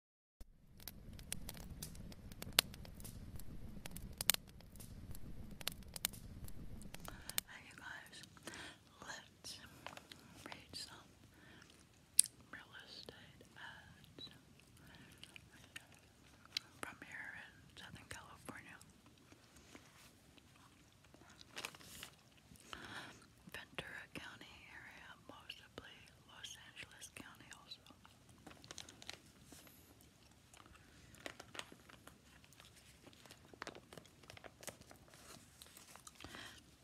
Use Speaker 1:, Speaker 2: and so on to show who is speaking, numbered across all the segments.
Speaker 1: Hey you guys, let's read some real estate ads from here in Southern California. Ventura County area, mostly Los Angeles County also.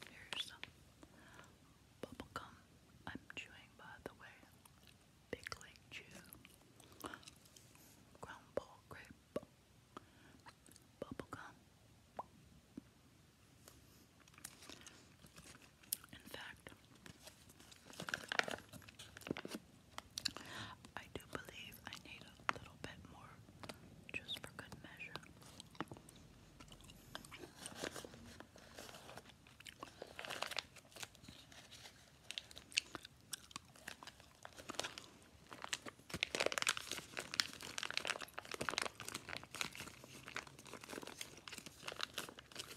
Speaker 1: Here's some bubblegum I'm chewing by the way. Big Lake Chew. Ground ball grape. Bubblegum. In fact, I do believe I need a little bit more just for good measure.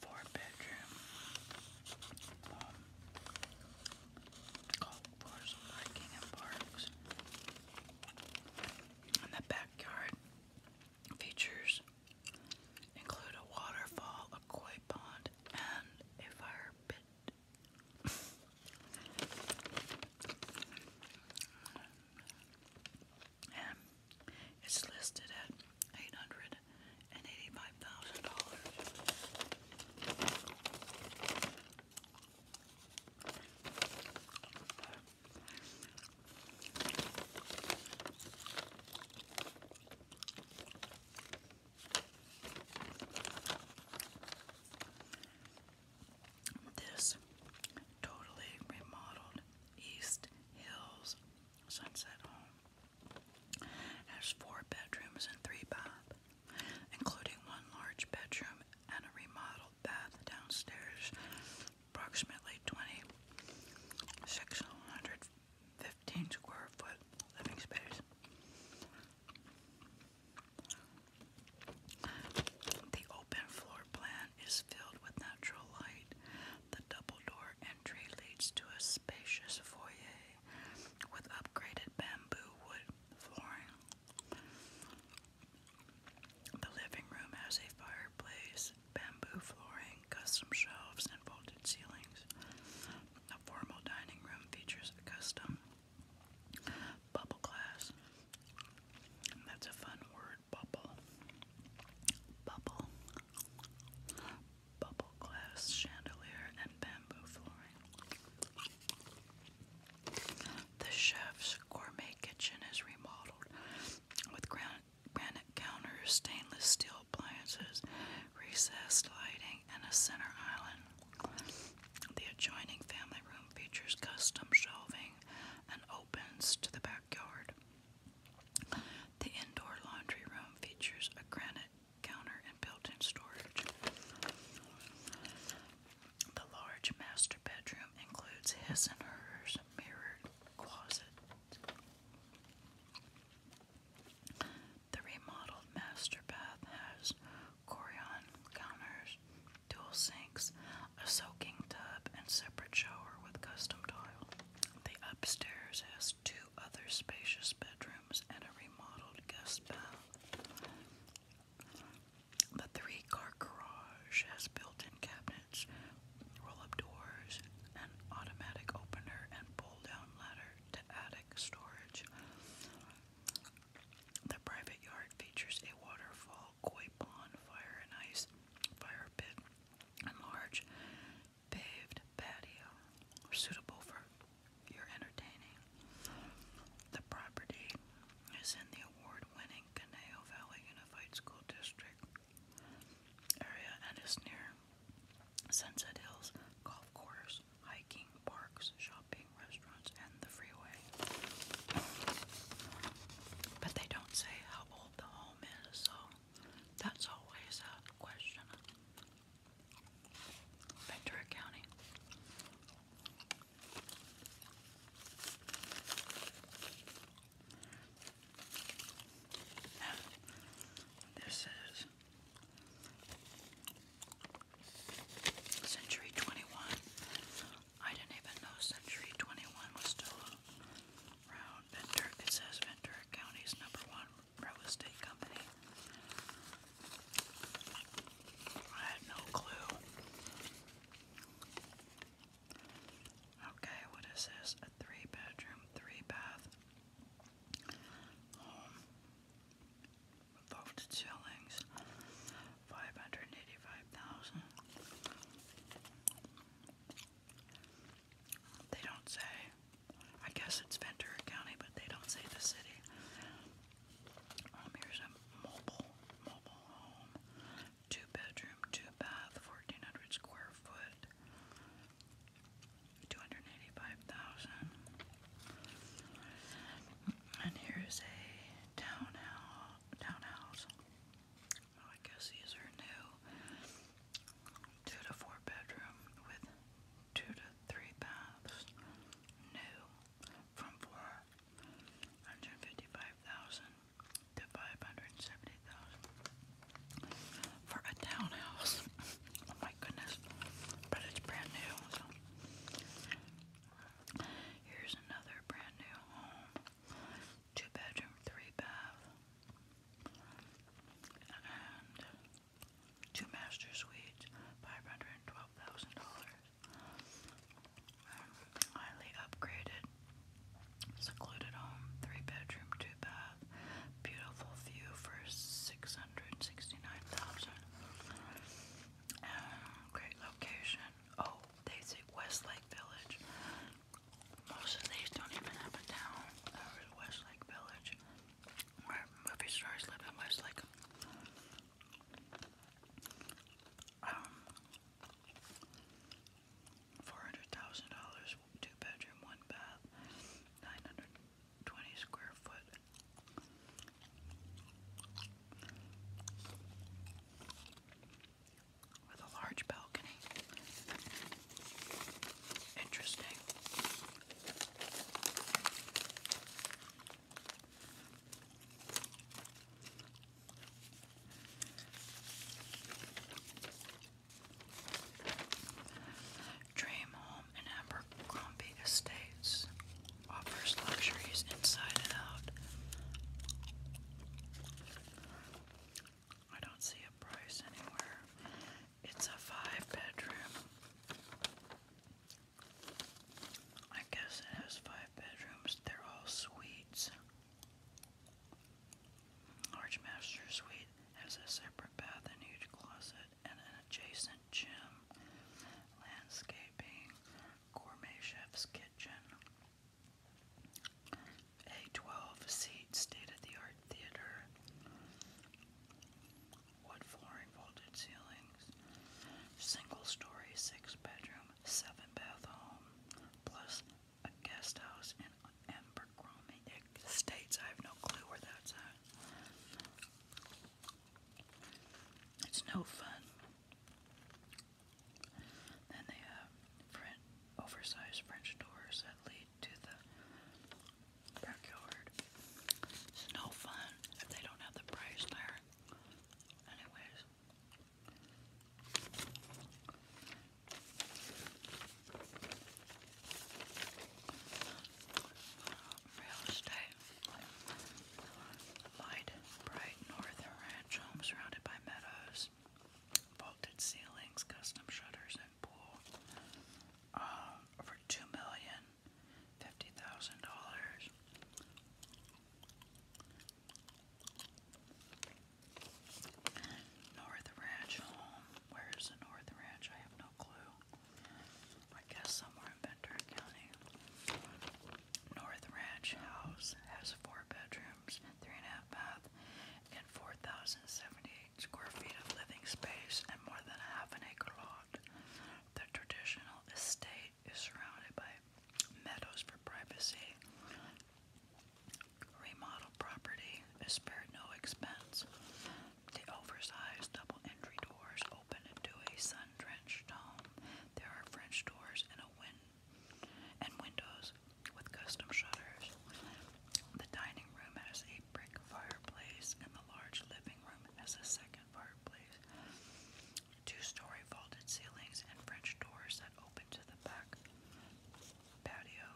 Speaker 1: Four bedroom. Um, golf course, hiking and parks. And the backyard features include a waterfall, a koi pond, and a fire pit it's listed at eight hundred and eighty-five thousand dollars. This totally remodeled East Hills Sunset Home has four bedrooms and three baths, including one large bedroom and a remodeled bath downstairs, approximately 2,615 square foot living space. The open floor plan is filled with natural light. The double door entry leads to a spacious foyer with upgraded bamboo wood flooring. The living room has a fireplace, bamboo flooring, custom shelves, and vaulted ceilings. The formal dining room features a custom bubble glass. That's a fun word bubble. Bubble. Bubble glass chandelier and bamboo flooring. The chef's gourmet kitchen is remodeled with granite counters, stainless steel appliances, recessed lighting, and a center island. The adjoining family room features custom shelving and opens to the back the indoor laundry room features a granite counter and built in storage. The large master bedroom includes his and hers mirrored closet. The remodeled master bath has Corian counters, dual sinks, a soaking tub, and separate shower with custom tile. The upstairs has two other spacious bedrooms and a remodeled guest bath. The three car garage has built in cabinets, roll up doors, and automatic opener, and pull down ladder to attic storage. The private yard features a waterfall, koi pond, fire and ice, fire pit, and large paved patio suitable for your entertaining. The property is in the award-winning Caneo Valley Unified School District area and is near Sunset Hills golf course, hiking, parks, shopping, restaurants, and the freeway. But they don't say how old the home is, so that's always a question. Ventura County. this is Century 21. I didn't even know Century 21 was still round. Ventura, it says Ventura County's number one real estate company. I had no clue. Okay, what is this? A three bedroom, three bath home with lofted 585,000. They don't say I guess it's Ventura County, but they don't say the city. Um, here's a mobile, mobile home, two bedroom, two bath, 1,400 square foot, 285,000. And here's a townhouse. Townhouse. Well, I guess these are new two to four bedroom with two to three baths, new from four hundred fifty five thousand to five hundred seventy thousand for a townhouse. oh my goodness! But it's brand new. Here's another brand new home. Two bedroom, three bath, two master suites, five hundred and twelve thousand dollars. Um, highly upgraded, secluded home, three bedroom, two bath, beautiful view for six hundred sixty-nine thousand. Um, great location. Oh, they say Westlake Village most of these don't even have a town. There was Westlake Village, where movie stars live in Westlake. Um, four hundred thousand dollars, two bedroom, one bath, nine hundred twenty square foot. With a large balcony. Interesting. Dream Home and Estates offers luxuries inside and out. I don't see a price anywhere. It's a five bedroom. I guess it has five bedrooms. They're all suites. Large master suite has a separate bath and huge closet and an adjacent gym, landscaping, gourmet chef's kitchen, a 12 seat state of the art theater, wood flooring, vaulted ceilings, single story, six bedroom, seven bath home, plus a guest house in Abercrombie Estates. I have no clue where that's at. It's no fun. Then they have French, oversized French doors that lead to the backyard. It's no fun if they don't have the price there. Anyways. Real estate. Light, bright northern ranch home surrounded by meadows. Vaulted ceilings, custom shutters pool um, for two million fifty thousand dollars. North Ranch home. Where is the North Ranch? I have no clue. I guess somewhere in Ventura County. North Ranch house has four bedrooms, three and a half bath, and four thousand seventy square feet of living space and more than a half an acre lot. The traditional estate is surrounded by meadows for privacy. Remodel property is spared no expense. The oversized double entry doors open into a sun-drenched home. There are French doors and a win and windows with custom shutters. The dining room has a brick fireplace, and the large living room has a second fireplace. Two story vaulted ceilings and French doors that open to the back patio.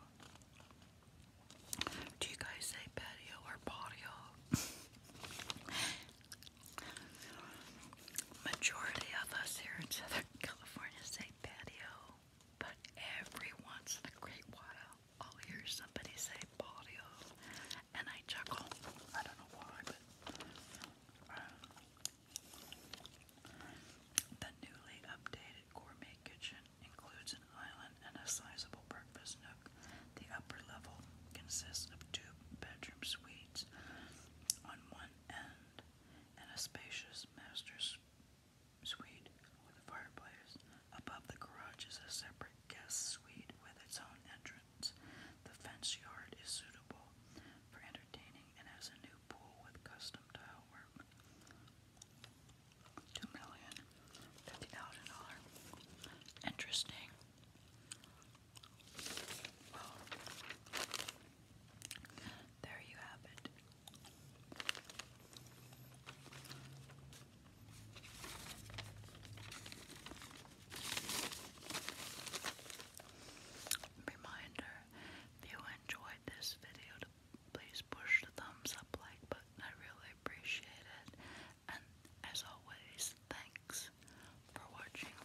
Speaker 1: Do you guys say patio or patio? Majority of us here in Southern California say patio, but every once in a great while I'll hear somebody say patio, and I chuckle. I don't know why, uh, the newly updated gourmet kitchen includes an island and a sizable breakfast nook. The upper level consists of two bedroom suites on one end and a spacious master suite with a fireplace. Above the garage is a separate guest suite with its own entrance. The fenced yard is suitable for entertaining and has a new pool with custom tile work. Two million fifty thousand dollar. Interesting. Well, there you have it. Reminder, if you enjoyed this video, please push the thumbs up like button. I really appreciate it. And as always, thanks for watching.